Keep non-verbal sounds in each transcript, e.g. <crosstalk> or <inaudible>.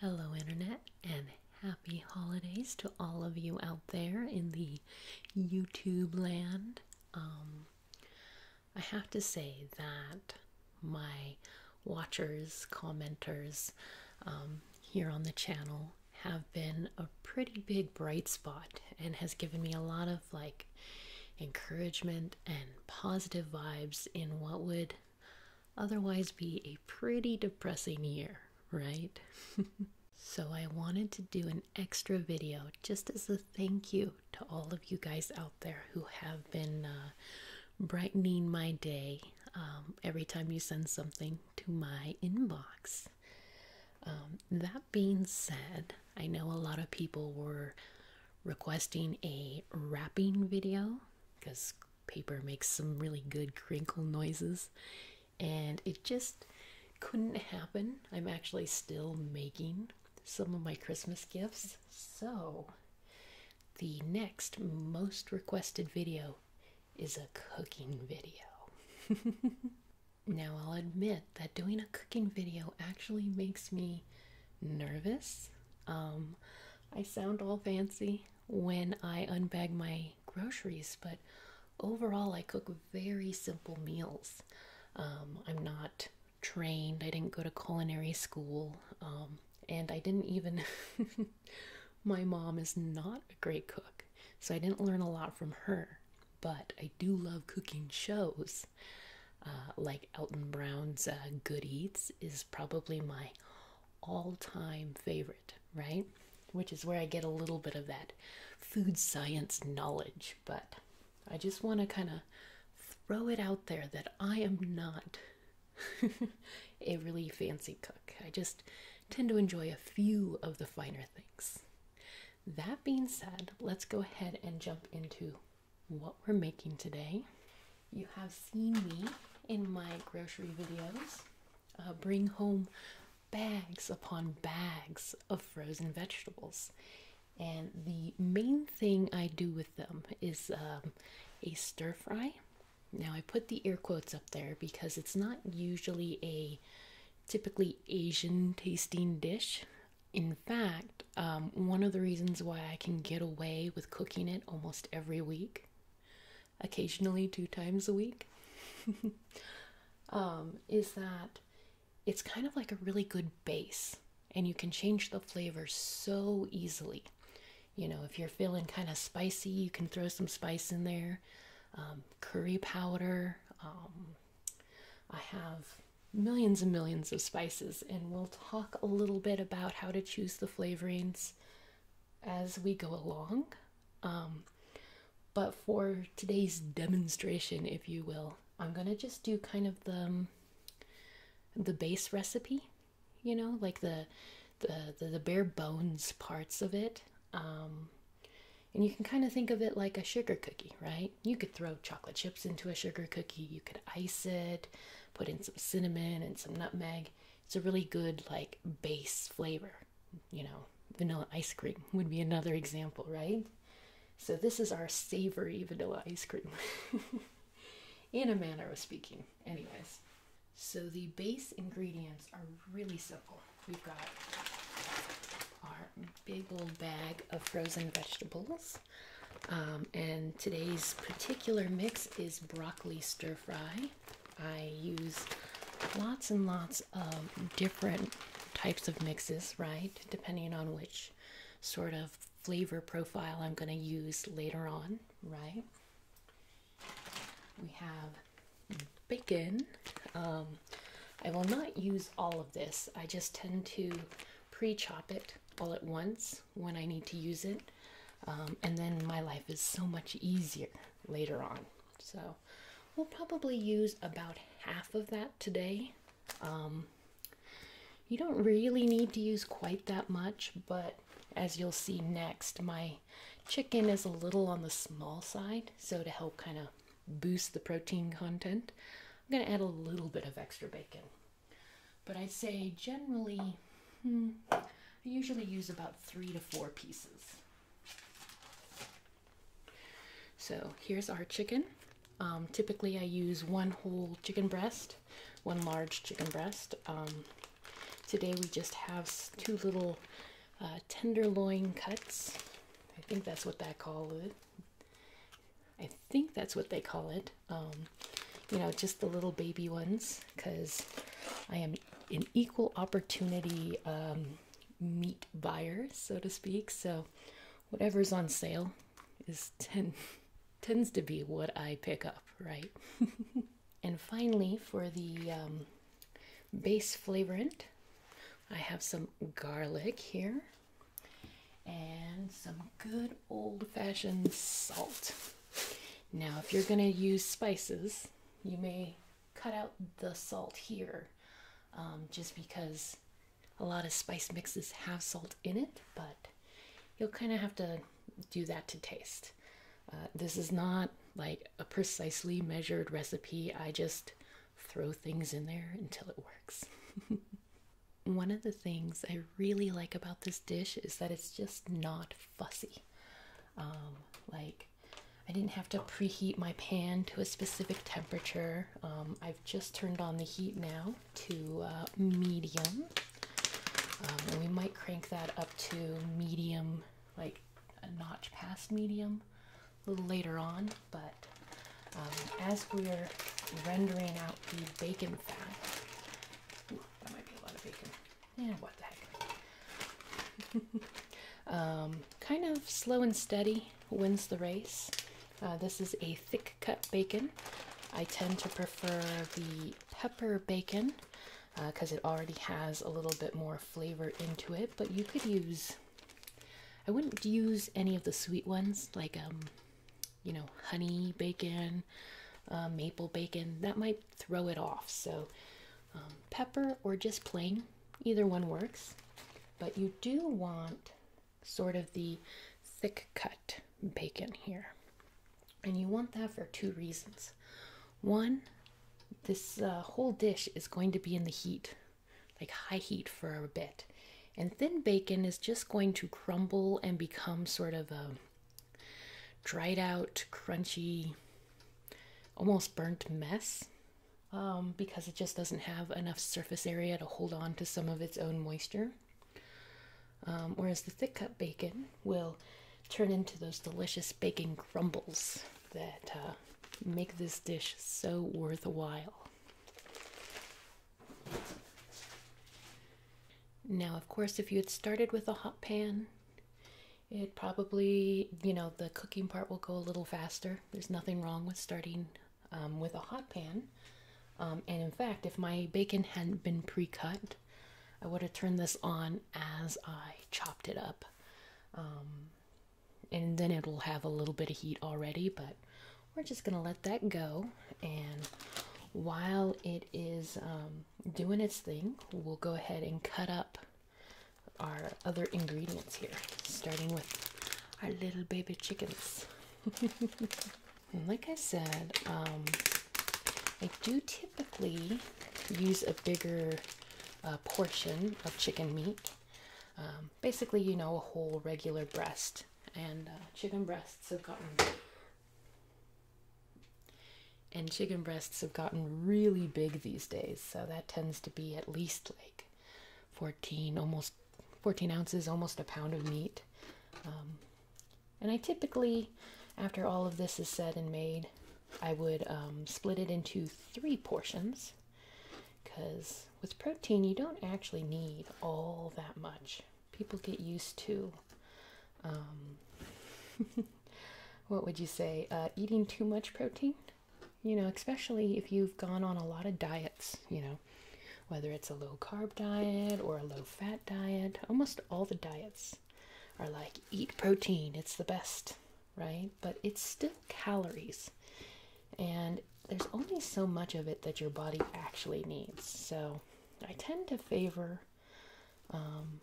Hello, Internet, and happy holidays to all of you out there in the YouTube land. Um, I have to say that my watchers, commenters um, here on the channel have been a pretty big bright spot and has given me a lot of like encouragement and positive vibes in what would otherwise be a pretty depressing year, right? <laughs> so I wanted to do an extra video just as a thank you to all of you guys out there who have been uh, brightening my day um, every time you send something to my inbox. Um, that being said, I know a lot of people were requesting a wrapping video because paper makes some really good crinkle noises and it just couldn't happen. I'm actually still making some of my Christmas gifts. So, the next most requested video is a cooking video. <laughs> now, I'll admit that doing a cooking video actually makes me nervous. Um, I sound all fancy when I unbag my groceries, but overall, I cook very simple meals. Um, I'm not trained, I didn't go to culinary school, um, and I didn't even. <laughs> my mom is not a great cook, so I didn't learn a lot from her, but I do love cooking shows. Uh, like Elton Brown's uh, Good Eats is probably my all-time favorite, right? Which is where I get a little bit of that food science knowledge, but I just want to kind of throw it out there that I am not <laughs> a really fancy cook. I just tend to enjoy a few of the finer things. That being said, let's go ahead and jump into what we're making today. You have seen me in my grocery videos uh, bring home bags upon bags of frozen vegetables. And the main thing I do with them is um, a stir fry. Now, I put the air quotes up there because it's not usually a typically Asian tasting dish. In fact, um, one of the reasons why I can get away with cooking it almost every week occasionally two times a week, <laughs> um, is that it's kind of like a really good base and you can change the flavor so easily. You know, if you're feeling kind of spicy, you can throw some spice in there, um, curry powder. Um, I have millions and millions of spices, and we'll talk a little bit about how to choose the flavorings as we go along. Um, but for today's demonstration, if you will, I'm gonna just do kind of the um, the base recipe, you know, like the the the, bare bones parts of it. Um, and you can kind of think of it like a sugar cookie, right? You could throw chocolate chips into a sugar cookie, you could ice it, put in some cinnamon and some nutmeg, it's a really good like base flavor. You know, vanilla ice cream would be another example, right? So this is our savory vanilla ice cream. <laughs> in a manner of speaking. Anyways, so the base ingredients are really simple. We've got our big old bag of frozen vegetables. Um, and today's particular mix is broccoli stir fry. I use lots and lots of different types of mixes, right? Depending on which sort of flavor profile I'm going to use later on, right? We have bacon. Um, I will not use all of this. I just tend to pre-chop it all at once when I need to use it. Um, and then my life is so much easier, later on. So we'll probably use about half of that today. Um, you don't really need to use quite that much, but as you'll see next, my chicken is a little on the small side, so to help kind of boost the protein content, I'm going to add a little bit of extra bacon. But I'd say generally Hmm. I usually use about three to four pieces. So here's our chicken. Um, typically I use one whole chicken breast, one large chicken breast. Um, today we just have two little uh, tenderloin cuts. I think that's what that call it. I think that's what they call it. Um, you know, just the little baby ones because I am an equal opportunity um, meat buyer, so to speak. So whatever's on sale is ten <laughs> tends to be what I pick up, right? <laughs> and finally, for the um, base flavorant, I have some garlic here and some good old-fashioned salt. Now, if you're going to use spices, you may cut out the salt here um, just because a lot of spice mixes have salt in it, but you'll kind of have to do that to taste. Uh, this is not like a precisely measured recipe. I just throw things in there until it works. <laughs> One of the things I really like about this dish is that it's just not fussy. Um, like, I didn't have to preheat my pan to a specific temperature. Um, I've just turned on the heat now to uh, medium. Um, we might crank that up to medium, like a notch past medium a little later on. But um, as we're rendering out the bacon fat, that might be a lot of bacon yeah, what the heck. <laughs> um, kind of slow and steady wins the race. Uh, this is a thick cut bacon. I tend to prefer the pepper bacon because uh, it already has a little bit more flavor into it, but you could use, I wouldn't use any of the sweet ones like, um, you know, honey bacon, uh, maple bacon. That might throw it off. So, um, pepper or just plain, either one works. But you do want sort of the thick cut bacon here. And you want that for two reasons. One, this uh, whole dish is going to be in the heat, like high heat for a bit. And thin bacon is just going to crumble and become sort of a dried out, crunchy almost burnt mess um, because it just doesn't have enough surface area to hold on to some of its own moisture. Um, whereas the thick cut bacon will turn into those delicious bacon crumbles that uh, make this dish so worthwhile. Now, of course, if you had started with a hot pan, it probably, you know, the cooking part will go a little faster. There's nothing wrong with starting um, with a hot pan. Um, and in fact, if my bacon hadn't been pre cut, I would have turned this on as I chopped it up. Um, and then it'll have a little bit of heat already, but we're just going to let that go. And while it is doing its thing, we'll go ahead and cut up our other ingredients here, starting with our little baby chickens. <laughs> like I said, um, I do typically use a bigger uh, portion of chicken meat. Um, basically, you know, a whole regular breast, and uh, chicken breasts have gotten and chicken breasts have gotten really big these days, so that tends to be at least like 14, almost 14 ounces, almost a pound of meat. Um, and I typically, after all of this is said and made, I would um, split it into three portions because with protein, you don't actually need all that much. People get used to um, <laughs> what would you say, uh, eating too much protein? You know, especially if you've gone on a lot of diets, you know, whether it's a low carb diet or a low fat diet, almost all the diets are like eat protein, it's the best, right? But it's still calories, and there's only so much of it that your body actually needs. So I tend to favor um,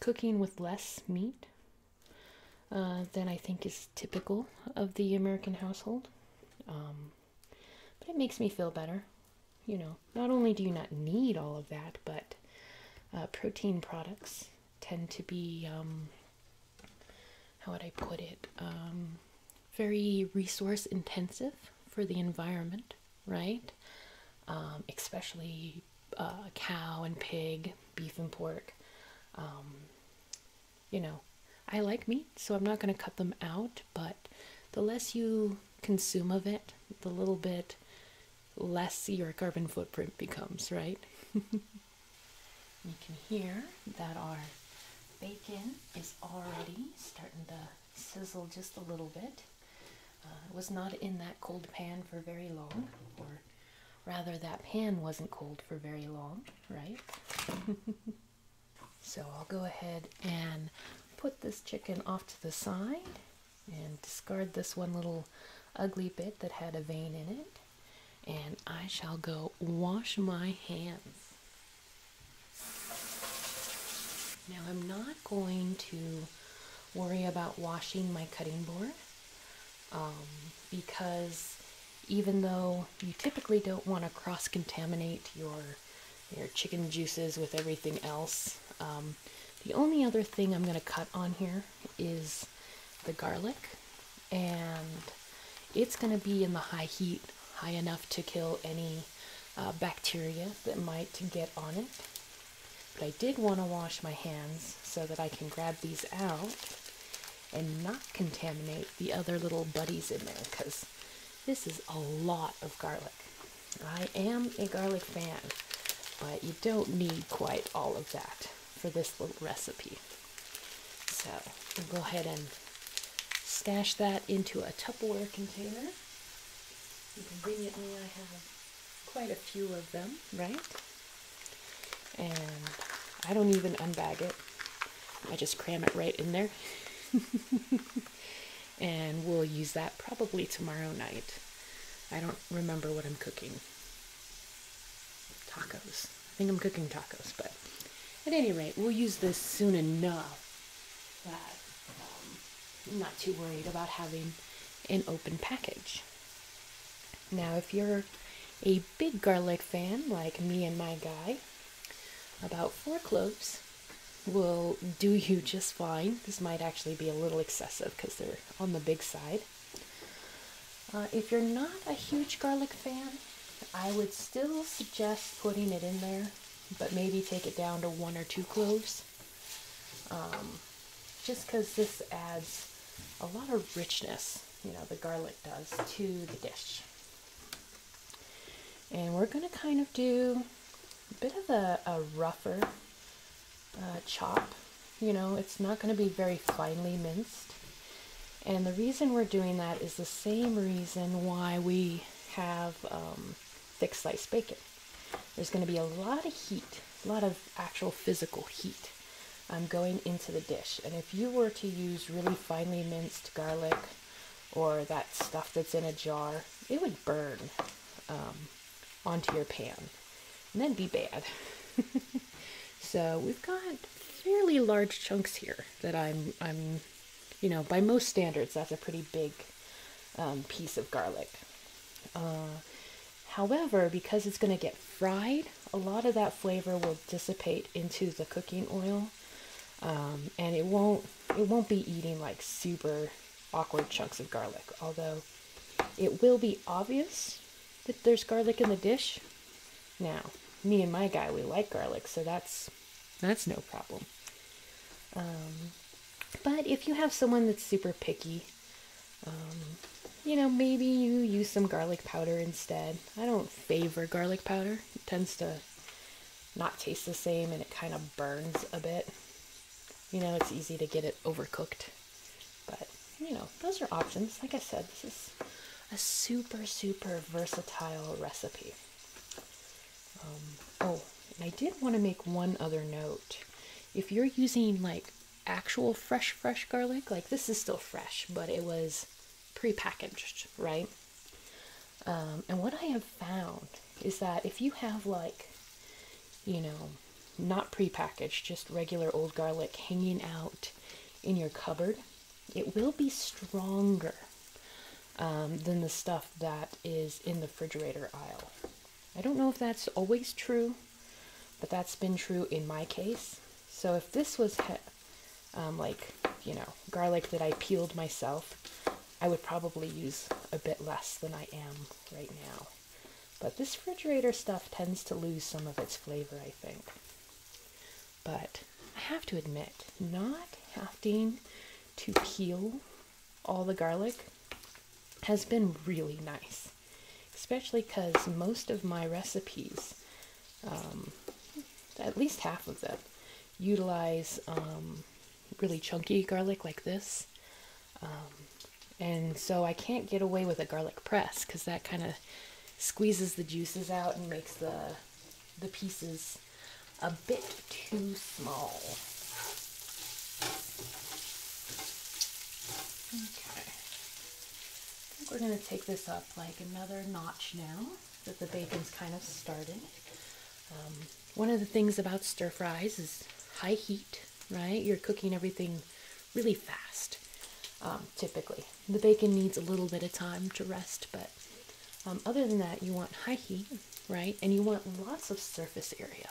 cooking with less meat uh, than I think is typical of the American household. Um, but it makes me feel better. You know, not only do you not need all of that, but uh, protein products tend to be, um, how would I put it, um, very resource intensive for the environment, right? especially uh, cow and pig, beef and pork. Um, you know, I like meat, so I'm not going to cut them out, but the less you consume of it, the little bit less your carbon footprint becomes, right? <laughs> you can hear that our bacon is already starting to sizzle just a little bit. Uh, it was not in that cold pan for very long, or Rather, that pan wasn't cold for very long, right? <laughs> so I'll go ahead and put this chicken off to the side and discard this one little ugly bit that had a vein in it. And I shall go wash my hands. Now I'm not going to worry about washing my cutting board. Um, because even though you typically don't want to cross-contaminate your your chicken juices with everything else. Um, the only other thing I'm going to cut on here is the garlic, and it's going to be in the high heat, high enough to kill any uh, bacteria that might get on it. But I did want to wash my hands so that I can grab these out and not contaminate the other little buddies in there because this is a lot of garlic. I am a garlic fan, but you don't need quite all of that for this little recipe. So we'll go ahead and stash that into a Tupperware container. Conveniently, I have quite a few of them, right? And I don't even unbag it. I just cram it right in there. <laughs> and we'll use that probably tomorrow night. I don't remember what I'm cooking. Tacos. I think I'm cooking tacos, but at any rate, we'll use this soon enough. Um, I'm not too worried about having an open package. Now, if you're a big garlic fan like me and my guy, about four cloves will do you just fine. This might actually be a little excessive because they're on the big side. Uh, if you're not a huge garlic fan, I would still suggest putting it in there, but maybe take it down to one or two cloves. Um, just because this adds a lot of richness you know, the garlic does to the dish. And we're going to kind of do a bit of a, rougher uh, chop. You know, it's not going to be very finely minced. And the reason we're doing that is the same reason why we have um, thick sliced bacon. There's going to be a lot of heat a lot of actual physical heat I'm um, going into the dish. And if you were to use really finely minced garlic or that stuff that's in a jar, it would burn um, onto your pan and then be bad. <laughs> so we've got fairly large chunks here that I'm, I'm, you know, by most standards, that's a pretty big um, piece of garlic. Uh, However, because it's going to get fried, a lot of that flavor will dissipate into the cooking oil, um, and it won't it won't be eating like super awkward chunks of garlic. Although it will be obvious that there's garlic in the dish. Now, me and my guy we like garlic, so that's that's no problem. Um, but if you have someone that's super picky, um, you know, maybe you use some garlic powder instead. I don't favor garlic powder. It tends to not taste the same and it kind of burns a bit. You know, it's easy to get it overcooked. But, you know, those are options. Like I said, this is a super, super versatile recipe. Um, oh, and I did want to make one other note. If you're using like actual fresh, fresh garlic. Like this is still fresh, but it was prepackaged, right? Um, and what I have found is that if you have like, you know, not prepackaged, just regular old garlic hanging out in your cupboard, it will be stronger um, than the stuff that is in the refrigerator aisle. I don't know if that's always true. But that's been true in my case. So if this was um, like, you know, garlic that I peeled myself, I would probably use a bit less than I am right now. But this refrigerator stuff tends to lose some of its flavor, I think. But I have to admit, not having to peel all the garlic has been really nice especially because most of my recipes, um, at least half of them, utilize um, really chunky garlic like this. Um, and so I can't get away with a garlic press because that kind of squeezes the juices out and makes the, the pieces a bit too small. Okay. I think we're going to take this off like another notch now that the bacon's kind of started. Um, one of the things about stir fries is high heat, right? You're cooking everything really fast, um, typically. The bacon needs a little bit of time to rest, but um, other than that, you want high heat, right? And you want lots of surface area.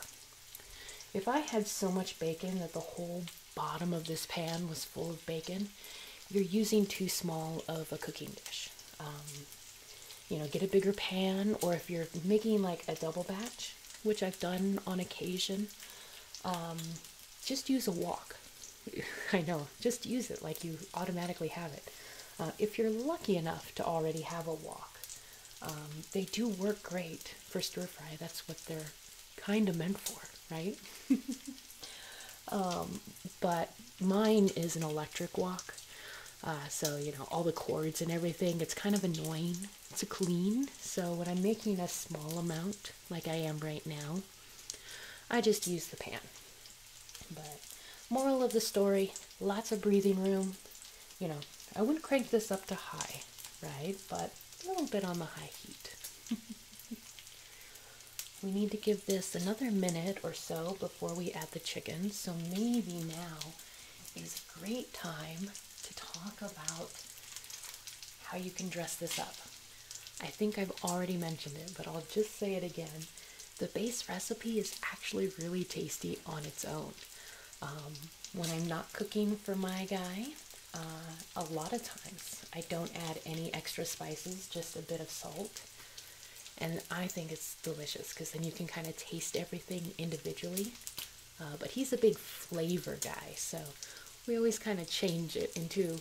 If I had so much bacon that the whole bottom of this pan was full of bacon, you're using too small of a cooking dish. Um, you know, get a bigger pan, or if you're making like a double batch, which I've done on occasion, um, just use a wok. <laughs> I know, just use it like you automatically have it. Uh, if you're lucky enough to already have a wok, um, they do work great for stir fry. That's what they're kind of meant for, right? <laughs> um, but mine is an electric walk, uh, so you know all the cords and everything. It's kind of annoying to clean. So when I'm making a small amount, like I am right now, I just use the pan. But moral of the story: lots of breathing room. You know, I wouldn't crank this up to high, right? But a little bit on the high heat. <laughs> We need to give this another minute or so before we add the chicken. So maybe now is a great time to talk about how you can dress this up. I think I've already mentioned it, but I'll just say it again. The base recipe is actually really tasty on its own. Um, when I'm not cooking for my guy, uh, a lot of times I don't add any extra spices, just a bit of salt. And I think it's delicious because then you can kind of taste everything individually. Uh, but he's a big flavor guy, so we always kind of change it into,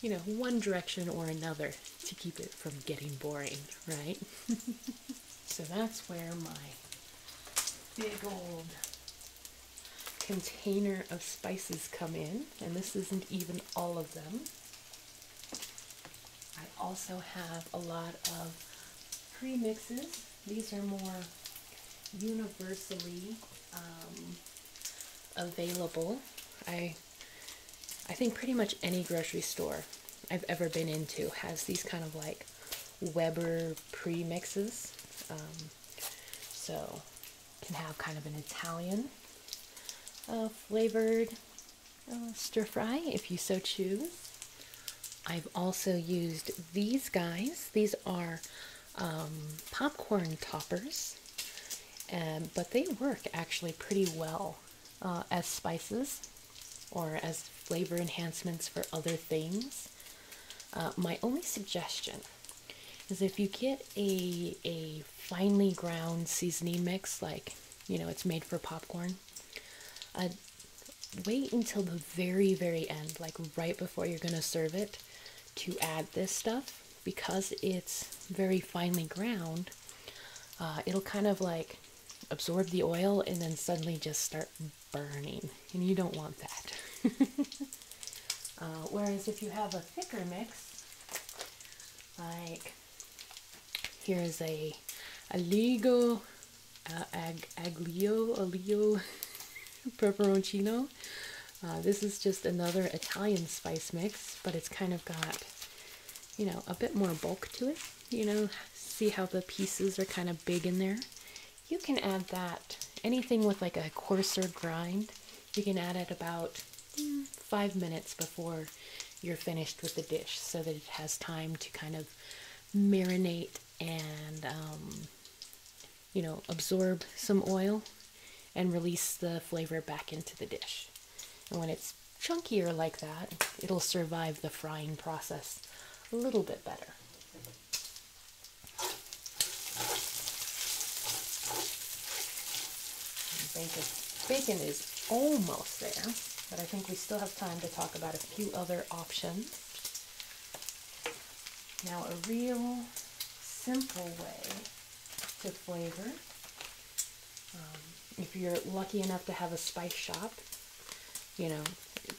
you know, one direction or another to keep it from getting boring, right? <laughs> so that's where my big old container of spices come in and this isn't even all of them. I also have a lot of premixes. these are more universally um, available. I I think pretty much any grocery store I've ever been into has these kind of like Weber premixes. Um, so can have kind of an Italian uh, flavored uh, stir fry if you so choose. I've also used these guys. These are um, popcorn toppers, and, but they work actually pretty well uh, as spices or as flavor enhancements for other things. my only suggestion is if you get a a finely ground seasoning mix, like you know it's made for popcorn, uh, wait until the very very end, like right before you're gonna serve it, to add this stuff because it's very finely ground. Uh, it'll kind of like absorb the oil and then suddenly just start burning, and you don't want that. <laughs> Uh, whereas if you have a thicker mix, like here's a aligo uh, ag, aglio aglio <laughs> pepperoncino. Uh, this is just another Italian spice mix, but it's kind of got you know a bit more bulk to it. You know, see how the pieces are kind of big in there. You can add that anything with like a coarser grind you can add it about mm. five minutes before you're finished with the dish so that it has time to kind of marinate and, um, you know, absorb some oil and release the flavor back into the dish. And when it's chunkier like that, it'll survive the frying process a little bit better. Bacon, is almost there, but I think we still have time to talk about a few other options. Now a real simple way to flavor, um, if you're lucky enough to have a spice shop, you know,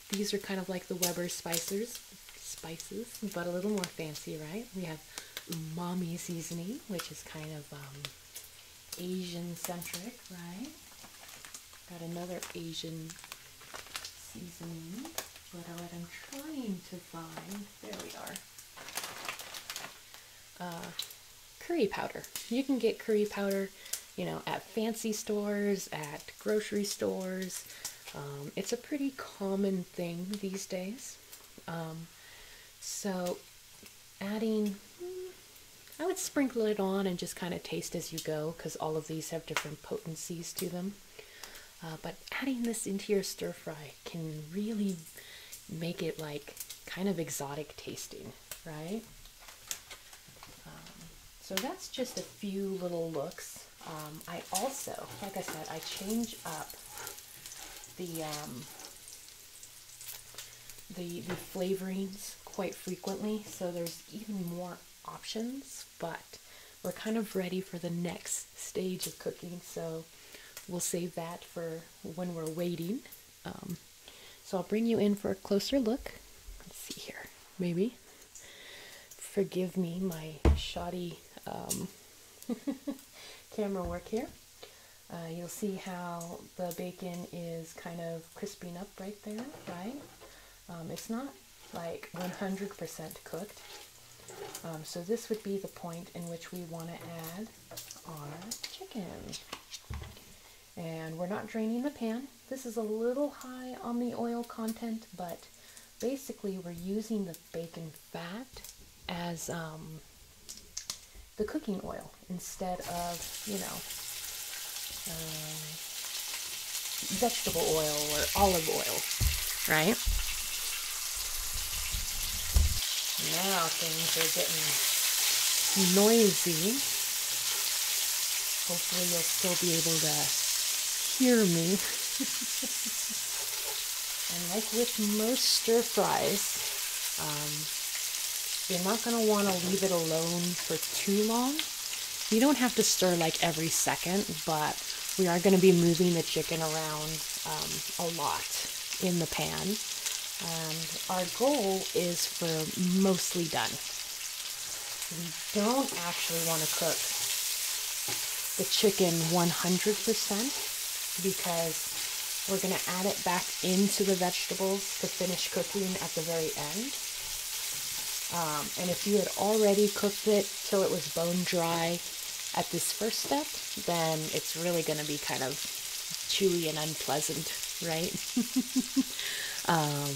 these are kind of like the Weber spicers, spices, but a little more fancy, right? We have umami seasoning, which is kind of um, Asian centric, right? Got another Asian seasoning. What I'm trying to find, there we are. Uh, curry powder. You can get curry powder, you know, at fancy stores, at grocery stores. Um, it's a pretty common thing these days. Um, so adding, I would sprinkle it on and just kind of taste as you go because all of these have different potencies to them. Uh, but adding this into your stir fry can really make it like kind of exotic tasting, right? Um, so that's just a few little looks. Um, I also, like I said, I change up the um, the, the flavorings quite frequently, so there's even more options, but we're kind of ready for the next stage of cooking, so we'll save that for when we're waiting. Um, so I'll bring you in for a closer look. Let's see here, maybe. Forgive me my shoddy um, <laughs> camera work here. Uh, you'll see how the bacon is kind of crisping up right there, right? Um, it's not like 100% cooked. Um, so this would be the point in which we want to add our chicken. And we're not draining the pan. This is a little high on the oil content, but basically we're using the bacon fat as um, the cooking oil instead of, you know, um, vegetable oil or olive oil, right? Now things are getting noisy. Hopefully, you'll still be able to hear me. <laughs> And like with most stir fries, um, you're not going to want to leave it alone for too long. You don't have to stir like every second, but we are going to be moving the chicken around um, a lot in the pan. And our goal is for mostly done. We don't actually want to cook the chicken 100% because we're going to add it back into the vegetables to finish cooking at the very end. Um, and if you had already cooked it till it was bone dry at this first step, then it's really going to be kind of chewy and unpleasant, right? <laughs> Um,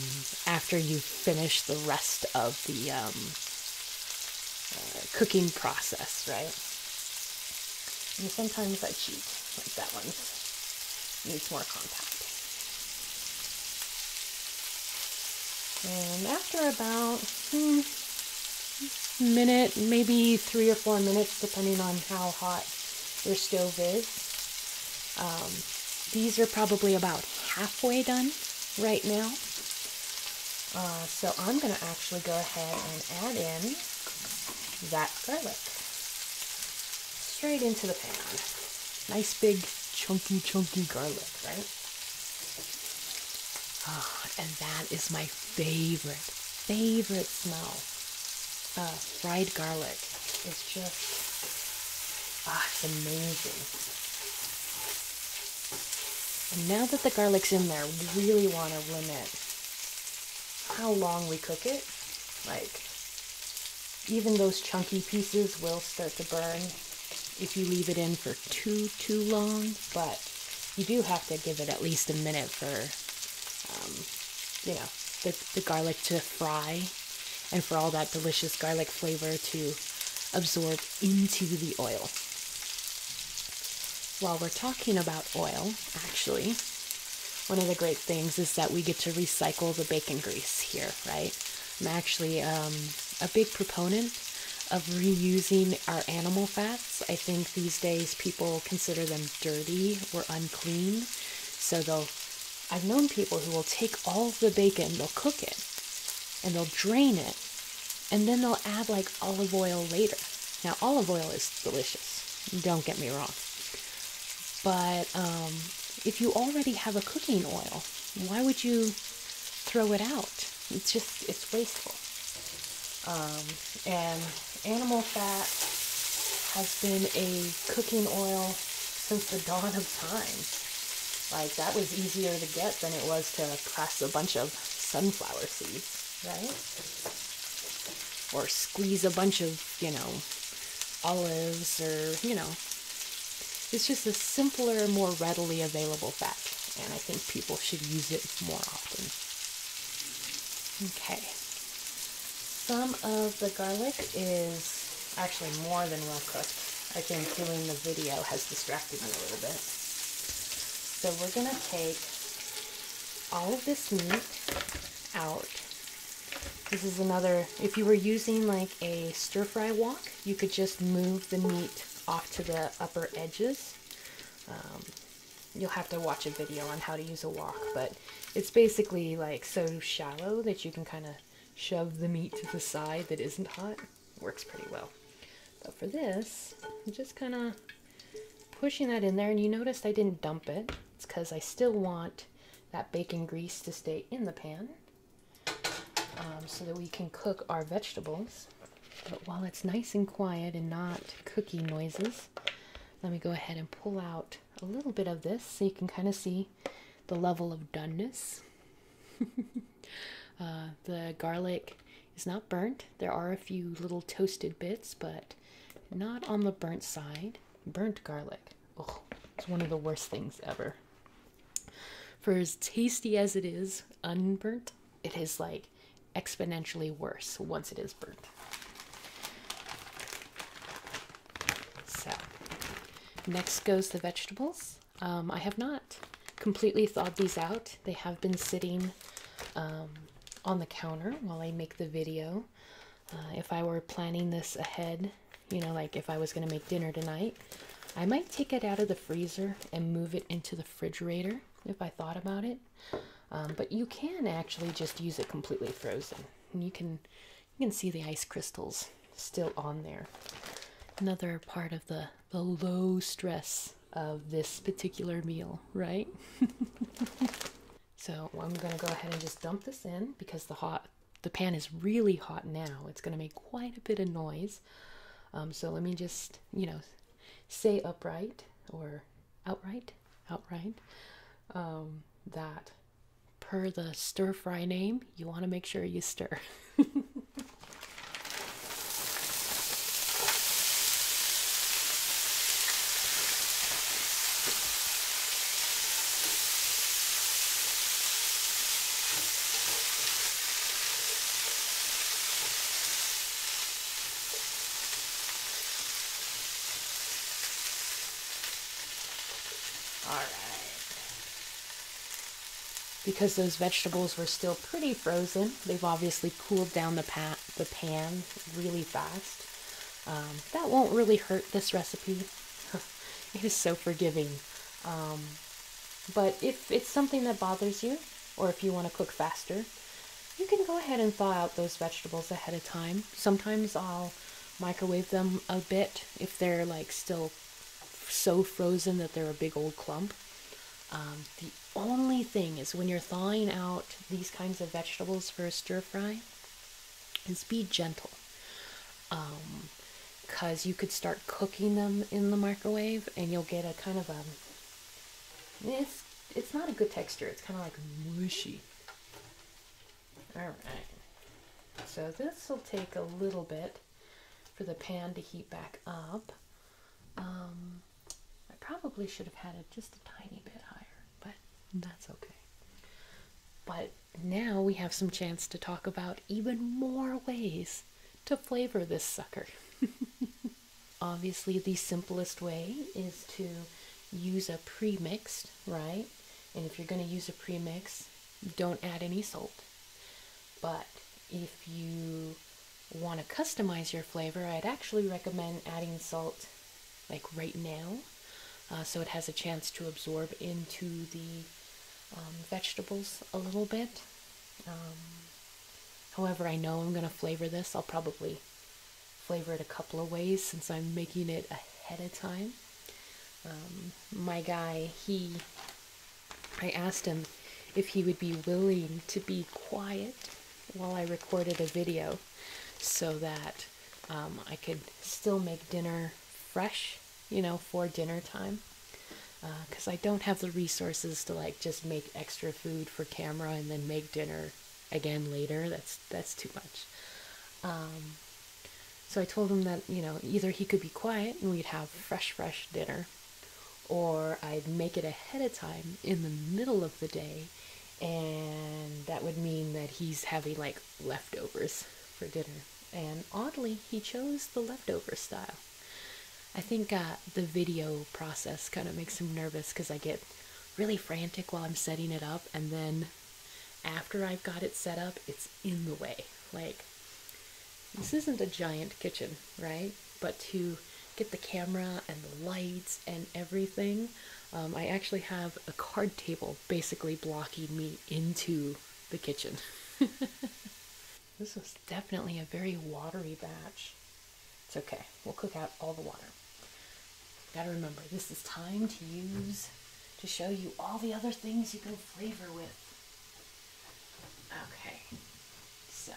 after you finish the rest of the um, uh, cooking process, right? And sometimes I cheat, like that one needs more contact. And after about a hmm, minute, maybe three or four minutes, depending on how hot your stove is, um, these are probably about halfway done right now. Uh, so I'm going to actually go ahead and add in that garlic straight into the pan. Nice big chunky, chunky garlic, right? Oh, and that is my favorite, favorite smell. fried garlic is just, ah, it's amazing. And now that the garlic's in there, we really want to limit how long we cook it. Like, even those chunky pieces will start to burn if you leave it in for too, too long, but you do have to give it at least a minute for, um, you know, the, the garlic to fry and for all that delicious garlic flavor to absorb into the oil. While we're talking about oil, actually, one of the great things is that we get to recycle the bacon grease here, right? I'm actually um, a big proponent of reusing our animal fats. I think these days people consider them dirty or unclean, so they'll I've known people who will take all the bacon, they'll cook it, and they'll drain it, and then they'll add like olive oil later. Now, olive oil is delicious, don't get me wrong. But um, if you already have a cooking oil, why would you throw it out? It's just, it's wasteful. Um, and animal fat has been a cooking oil since the dawn of time. Like, that was easier to get than it was to press a bunch of sunflower seeds right? Or squeeze a bunch of, you know, olives or, you know, it's just a simpler, more readily available fat. And I think people should use it more often. Okay. Some of the garlic is actually more than well cooked. I think doing the video has distracted me a little bit. So we're going to take all of this meat out. This is another, if you were using like a stir fry wok, you could just move the meat off to the upper edges. Um, you'll have to watch a video on how to use a wok, but it's basically like so shallow that you can kind of shove the meat to the side that isn't hot. Works pretty well. But for this, just kind of pushing that in there and you noticed I didn't dump it. It's because I still want that bacon grease to stay in the pan um, so that we can cook our vegetables. But while it's nice and quiet and not cookie noises, let me go ahead and pull out a little bit of this so you can kind of see the level of doneness. <laughs> Uh, the garlic is not burnt. There are a few little toasted bits, but not on the burnt side. Burnt garlic. it's one of the worst things ever. For as tasty as it is unburnt, it is like exponentially worse once it is burnt. So, next goes the vegetables. Um, I have not completely thawed these out. They have been sitting um, on the counter while I make the video. Uh, if I were planning this ahead, you know, like if I was going to make dinner tonight, I might take it out of the freezer and move it into the refrigerator if I thought about it. Um, but you can actually just use it completely frozen. And you can you can see the ice crystals still on there. Another part of the the low stress of this particular meal, right? <laughs> So I'm gonna go ahead and just dump this in because the hot the pan is really hot now. It's gonna make quite a bit of noise. Um, so let me just you know say upright or outright outright um, that per the stir fry name you want to make sure you stir. <laughs> All right. Because those vegetables were still pretty frozen, they've obviously cooled down the, pa- the pan really fast. Um, that won't really hurt this recipe. <laughs> it is so forgiving. Um, but if it's something that bothers you, or if you want to cook faster, you can go ahead and thaw out those vegetables ahead of time. Sometimes I'll microwave them a bit if they're like still so frozen that they're a big old clump. Um, the only thing is when you're thawing out these kinds of vegetables for a stir fry, is be gentle because um, you could start cooking them in the microwave and you'll get a kind of a it's it's not a good texture it's kind of like mushy all right so this will take a little bit for the pan to heat back up um, I probably should have had it just a tiny bit higher but that's okay. But now we have some chance to talk about even more ways to flavor this sucker. <laughs> Obviously, the simplest way is to use a premixed, right? And if you're going to use a premix, don't add any salt. But if you want to customize your flavor, I'd actually recommend adding salt like right now, uh, so it has a chance to absorb into the um, vegetables a little bit. Um, however, I know I'm going to flavor this. I'll probably flavor it a couple of ways since I'm making it ahead of time. Um, my guy, he, I asked him if he would be willing to be quiet while I recorded a video so that um, I could still make dinner fresh, you know, for dinner time. Because uh, I don't have the resources to like just make extra food for camera and then make dinner again later. That's that's too much. Um, so I told him that you know either he could be quiet and we'd have fresh, fresh dinner, or I'd make it ahead of time in the middle of the day and that would mean that he's having like leftovers for dinner. And oddly, he chose the leftover style. I think uh, the video process kind of makes him nervous because I get really frantic while I'm setting it up, and then after I've got it set up, it's in the way. Like, this isn't a giant kitchen, right? But to get the camera and the lights and everything, um, I actually have a card table basically blocking me into the kitchen. <laughs> this was definitely a very watery batch. It's okay, we'll cook out all the water. Gotta remember, this is time to use to show you all the other things you can flavor with. Okay, so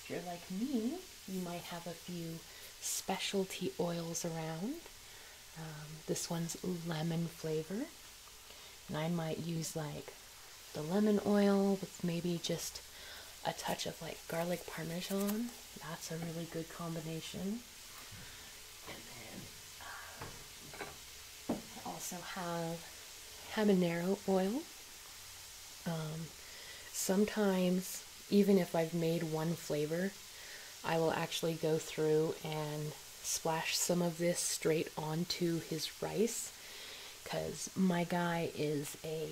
if you're like me, you might have a few specialty oils around. Um, this one's lemon flavor, and I might use like the lemon oil with maybe just a touch of like garlic parmesan. That's a really good combination. Uh, I also have habanero oil. Um, sometimes even if I've made one flavor, I will actually go through and splash some of this straight onto his rice because my guy is a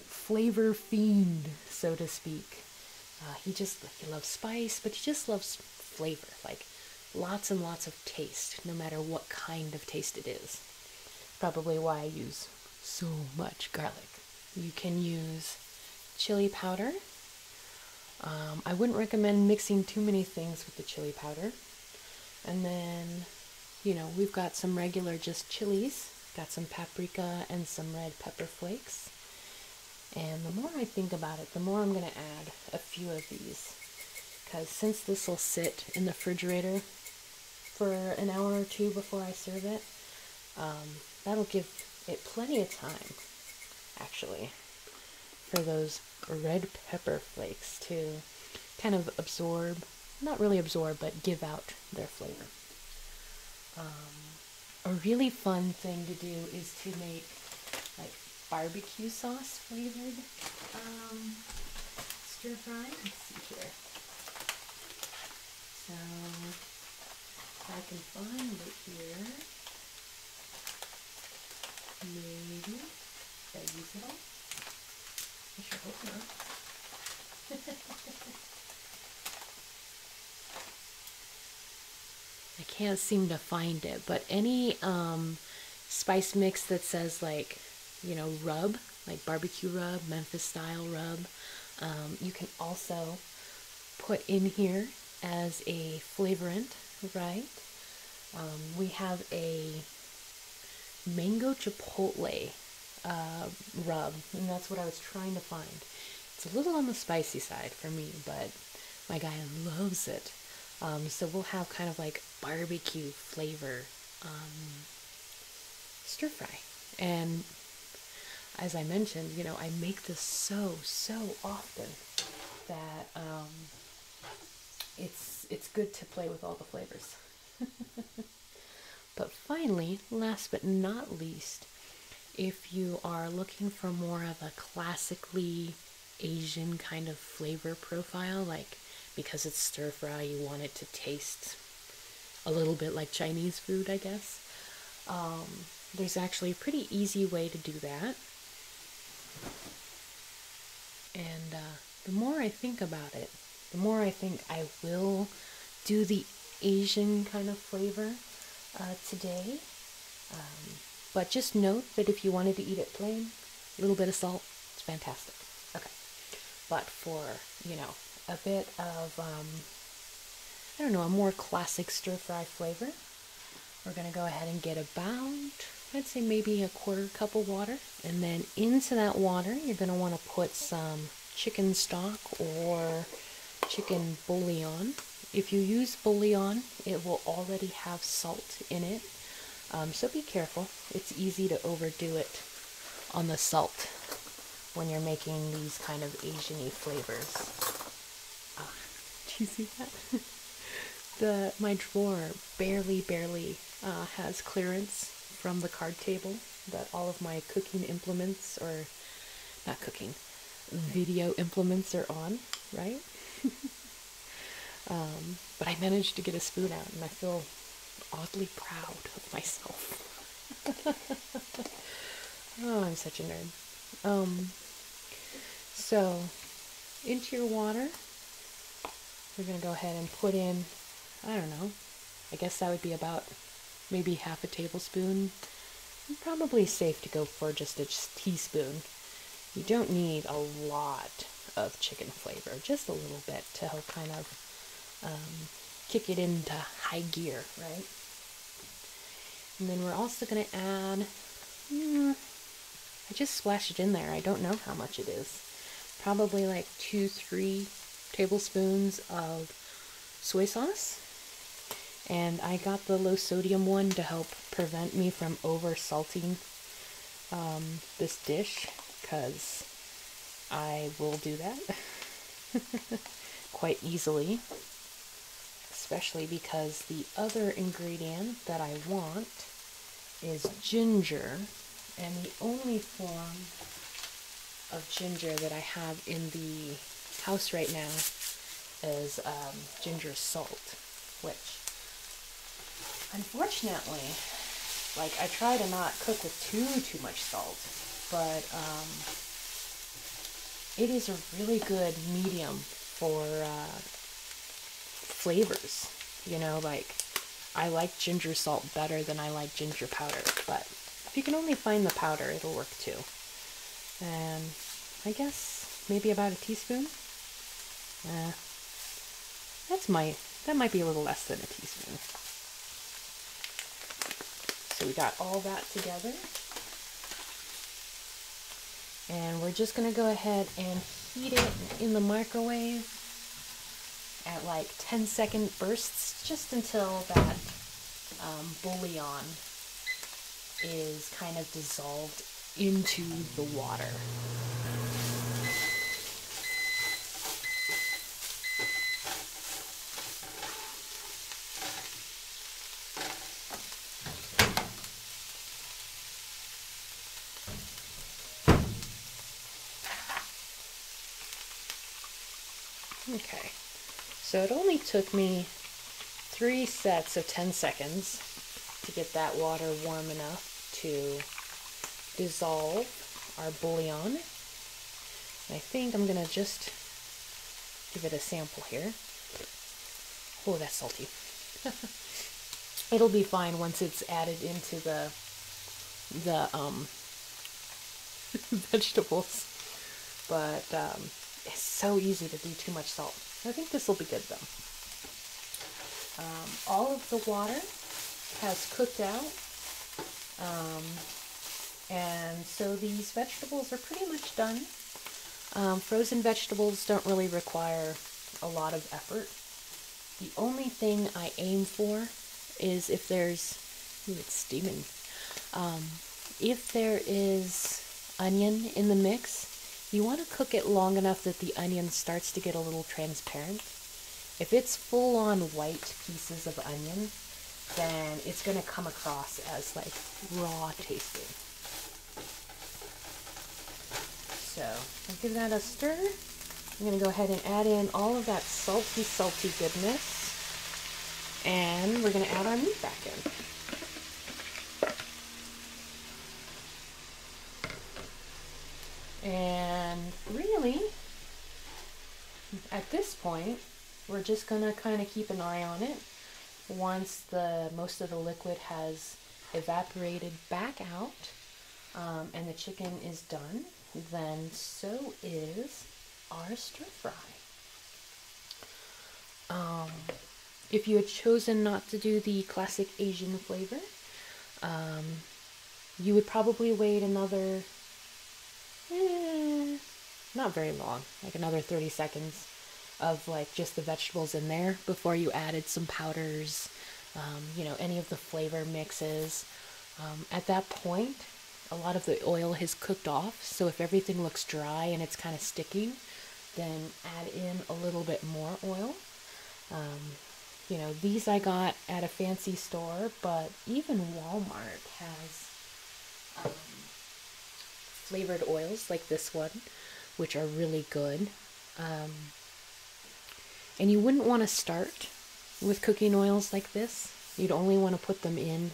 flavor fiend, so to speak. Uh, he just he loves spice, but he just loves flavor, like lots and lots of taste, no matter what kind of taste it is. Probably why I use so much garlic. You can use chili powder. Um, I wouldn't recommend mixing too many things with the chili powder. And then, you know, we've got some regular just chilies, got some paprika and some red pepper flakes. And the more I think about it, the more I'm going to add a few of these. Because since this will sit in the refrigerator for an hour or two before I serve it, um, that'll give it plenty of time, actually, for those red pepper flakes to kind of absorb, not really absorb, but give out their flavor. Um, a really fun thing to do is to make like barbecue sauce flavored um, stir fry. Let's see here. So I can find it here, maybe I use it all? I sure hope not. <laughs> I can't seem to find it, but any um, spice mix that says like, you know, rub, like barbecue rub, Memphis style rub, um, you can also put in here as a flavorant, right? Um, we have a mango chipotle uh, rub, and that's what I was trying to find. It's a little on the spicy side for me, but my guy loves it. Um, so we'll have kind of like barbecue flavor um, stir fry. And as I mentioned, you know, I make this so so often that um, it's it's good to play with all the flavors. <laughs> but finally, last but not least, if you are looking for more of a classically Asian kind of flavor profile, like because it's stir fry, you want it to taste a little bit like Chinese food, I guess. Um, there's actually a pretty easy way to do that. And uh, the more I think about it, the more I think I will do the Asian kind of flavor uh, today. Um, but just note that if you wanted to eat it plain, a little bit of salt, it's fantastic. Okay. But for, you know, a bit of, um, I don't know, a more classic stir fry flavor, we're going to go ahead and get about, I'd say maybe a quarter cup of water. And then into that water, you're going to want to put some chicken stock or chicken bouillon. If you use bouillon, it will already have salt in it. Um, so be careful. It's easy to overdo it on the salt when you're making these kind of Asiany flavors do you see that? <laughs> the my drawer barely, barely uh, has clearance from the card table that all of my cooking implements or not cooking video implements are on, right? <laughs> Um, but I managed to get a spoon out, and I feel oddly proud of myself. <laughs> oh, I'm such a nerd. Um, so into your water, we're going to go ahead and put in, I don't know, I guess that would be about maybe half a tablespoon. Probably safe to go for just a teaspoon. You don't need a lot of chicken flavor, just a little bit to help kind of um, kick it into high gear, right? And then we're also going to add, hmm, I just splashed it in there. I don't know how much it is. Probably like two, three tablespoons of soy sauce. And I got the low sodium one to help prevent me from over salting um, this dish because I will do that <laughs> quite easily especially because the other ingredient that I want is ginger, and the only form of ginger that I have in the house right now is um, ginger salt, which unfortunately, like I try to not cook with too too much salt, but um, it is a really good medium for uh, flavors. You know, like I like ginger salt better than I like ginger powder, but if you can only find the powder, it'll work too. And I guess maybe about a teaspoon. Eh. that's my that might be a little less than a teaspoon. So we got all that together. And we're just going to go ahead and heat it in the microwave at like 10 second bursts just until that um, bullion is kind of dissolved into the water. Okay, so it only took me three sets of 10 seconds to get that water warm enough to dissolve our bouillon. I think I'm going to just give it a sample here. Oh, that's salty. <laughs> It'll be fine once it's added into the the um, <laughs> vegetables, but um, it's so easy to do too much salt. I think this will be good though. Um, all of the water has cooked out, and so these vegetables are pretty much done. Um, frozen vegetables don't really require a lot of effort. The only thing I aim for is if there's, it's steaming. Um, if there is onion in the mix, you want to cook it long enough that the onion starts to get a little transparent. If it's full on white pieces of onion, then it's going to come across as like raw tasting. So give that a stir. I'm going to go ahead and add in all of that salty, salty goodness. And we're going to add our meat back in. And really, at this point, we're just going to kind of keep an eye on it. Once the most of the liquid has evaporated back out um, and the chicken is done, then so is our stir fry. Um, if you had chosen not to do the classic Asian flavor, um, you would probably wait another, eh, not very long, like another 30 seconds of like just the vegetables in there before you added some powders, um, you know, any of the flavor mixes. Um, at that point, a lot of the oil has cooked off, so if everything looks dry and it's kind of sticking, then add in a little bit more oil. Um, you know, these I got at a fancy store, but even Walmart has flavored oils like this one which are really good. Um, and you wouldn't want to start with cooking oils like this. You'd only want to put them in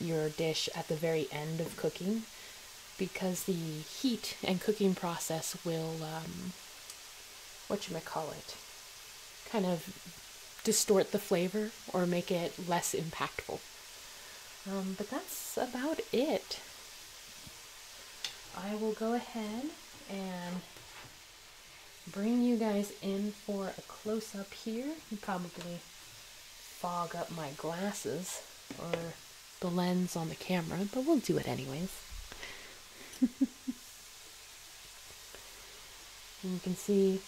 your dish at the very end of cooking because the heat and cooking process will, um, what you might call it, kind of distort the flavor or make it less impactful. Um, but that's about it. I will go ahead and bring you guys in for a close-up here. You probably fog up my glasses or the lens on the camera, but we'll do it anyways. <laughs> you can see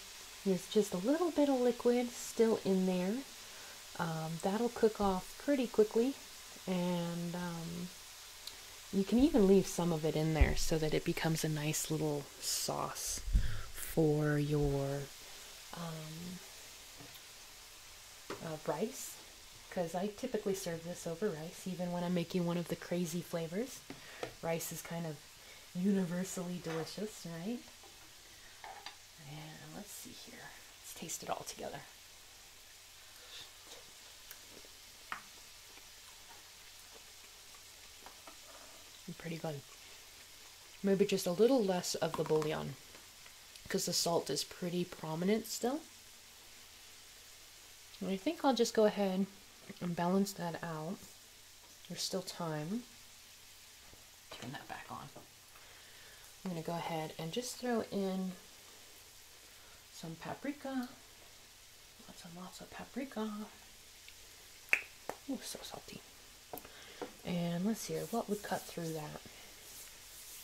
there's just a little bit of liquid still in there. Um, that'll cook off pretty quickly and um, you can even leave some of it in there so that it becomes a nice little sauce for your um, uh, rice because I typically serve this over rice even when I'm making one of the crazy flavors. Rice is kind of universally delicious, right? let's see here. Let's taste it all together. Pretty good. Maybe just a little less of the bouillon because the salt is pretty prominent still. And I think I'll just go ahead and balance that out. There's still time. Turn that back on. I'm going to go ahead and just throw in some paprika. Lots and lots of paprika. Ooh, so salty. And let's see here, what would cut through that?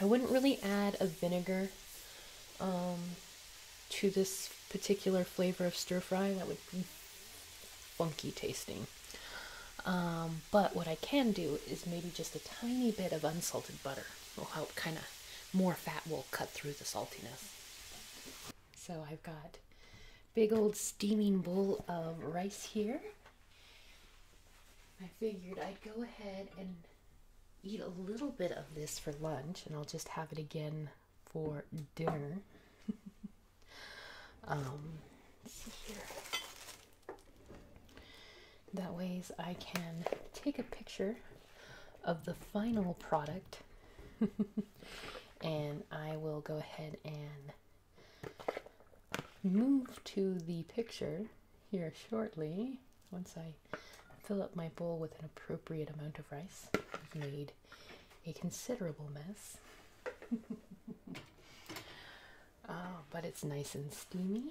I wouldn't really add a vinegar um, to this particular flavor of stir fry. That would be funky tasting. Um, but what I can do is maybe just a tiny bit of unsalted butter will help kind of more fat will cut through the saltiness. So I've got big old steaming bowl of rice here. I figured I'd go ahead and eat a little bit of this for lunch and I'll just have it again for dinner. <laughs> um, see here. That ways I can take a picture of the final product <laughs> and I will go ahead and move to the picture here shortly once I fill up my bowl with an appropriate amount of rice. I've made a considerable mess. <laughs> uh, but it's nice and steamy.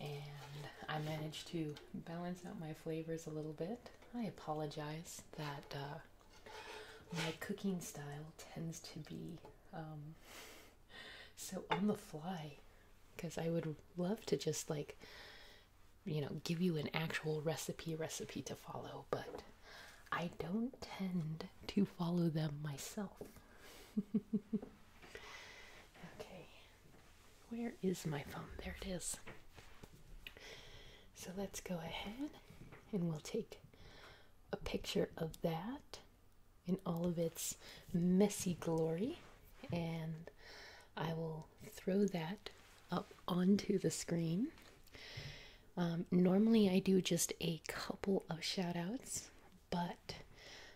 And I managed to balance out my flavors a little bit. I apologize that uh, my cooking style tends to be um, so on the fly because I would love to just like, you know, give you an actual recipe recipe to follow, but I don't tend to follow them myself. <laughs> Okay, where is my phone? There it is. So let's go ahead and we'll take a picture of that in all of its messy glory, and I will throw that up onto the screen. Um, normally, I do just a couple of shout outs but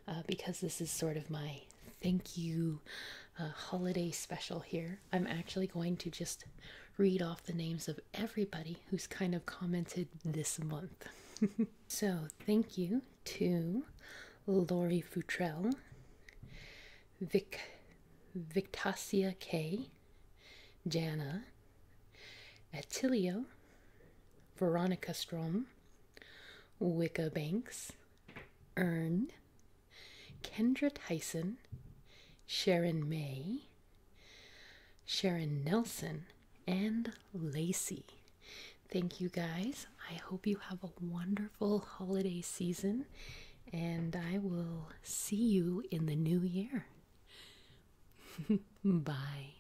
uh, because this is sort of my thank you uh, holiday special here, I'm actually going to just read off the names of everybody who's kind of commented this month. <laughs> so, thank you to Lori Futrell, Vic, Victasia K, Jana, Atilio, Veronica Strom, Wicca Banks, Earn, Kendra Tyson, Sharon May, Sharon Nelson, and Lacey. Thank you guys. I hope you have a wonderful holiday season, and I will see you in the new year. <laughs> Bye.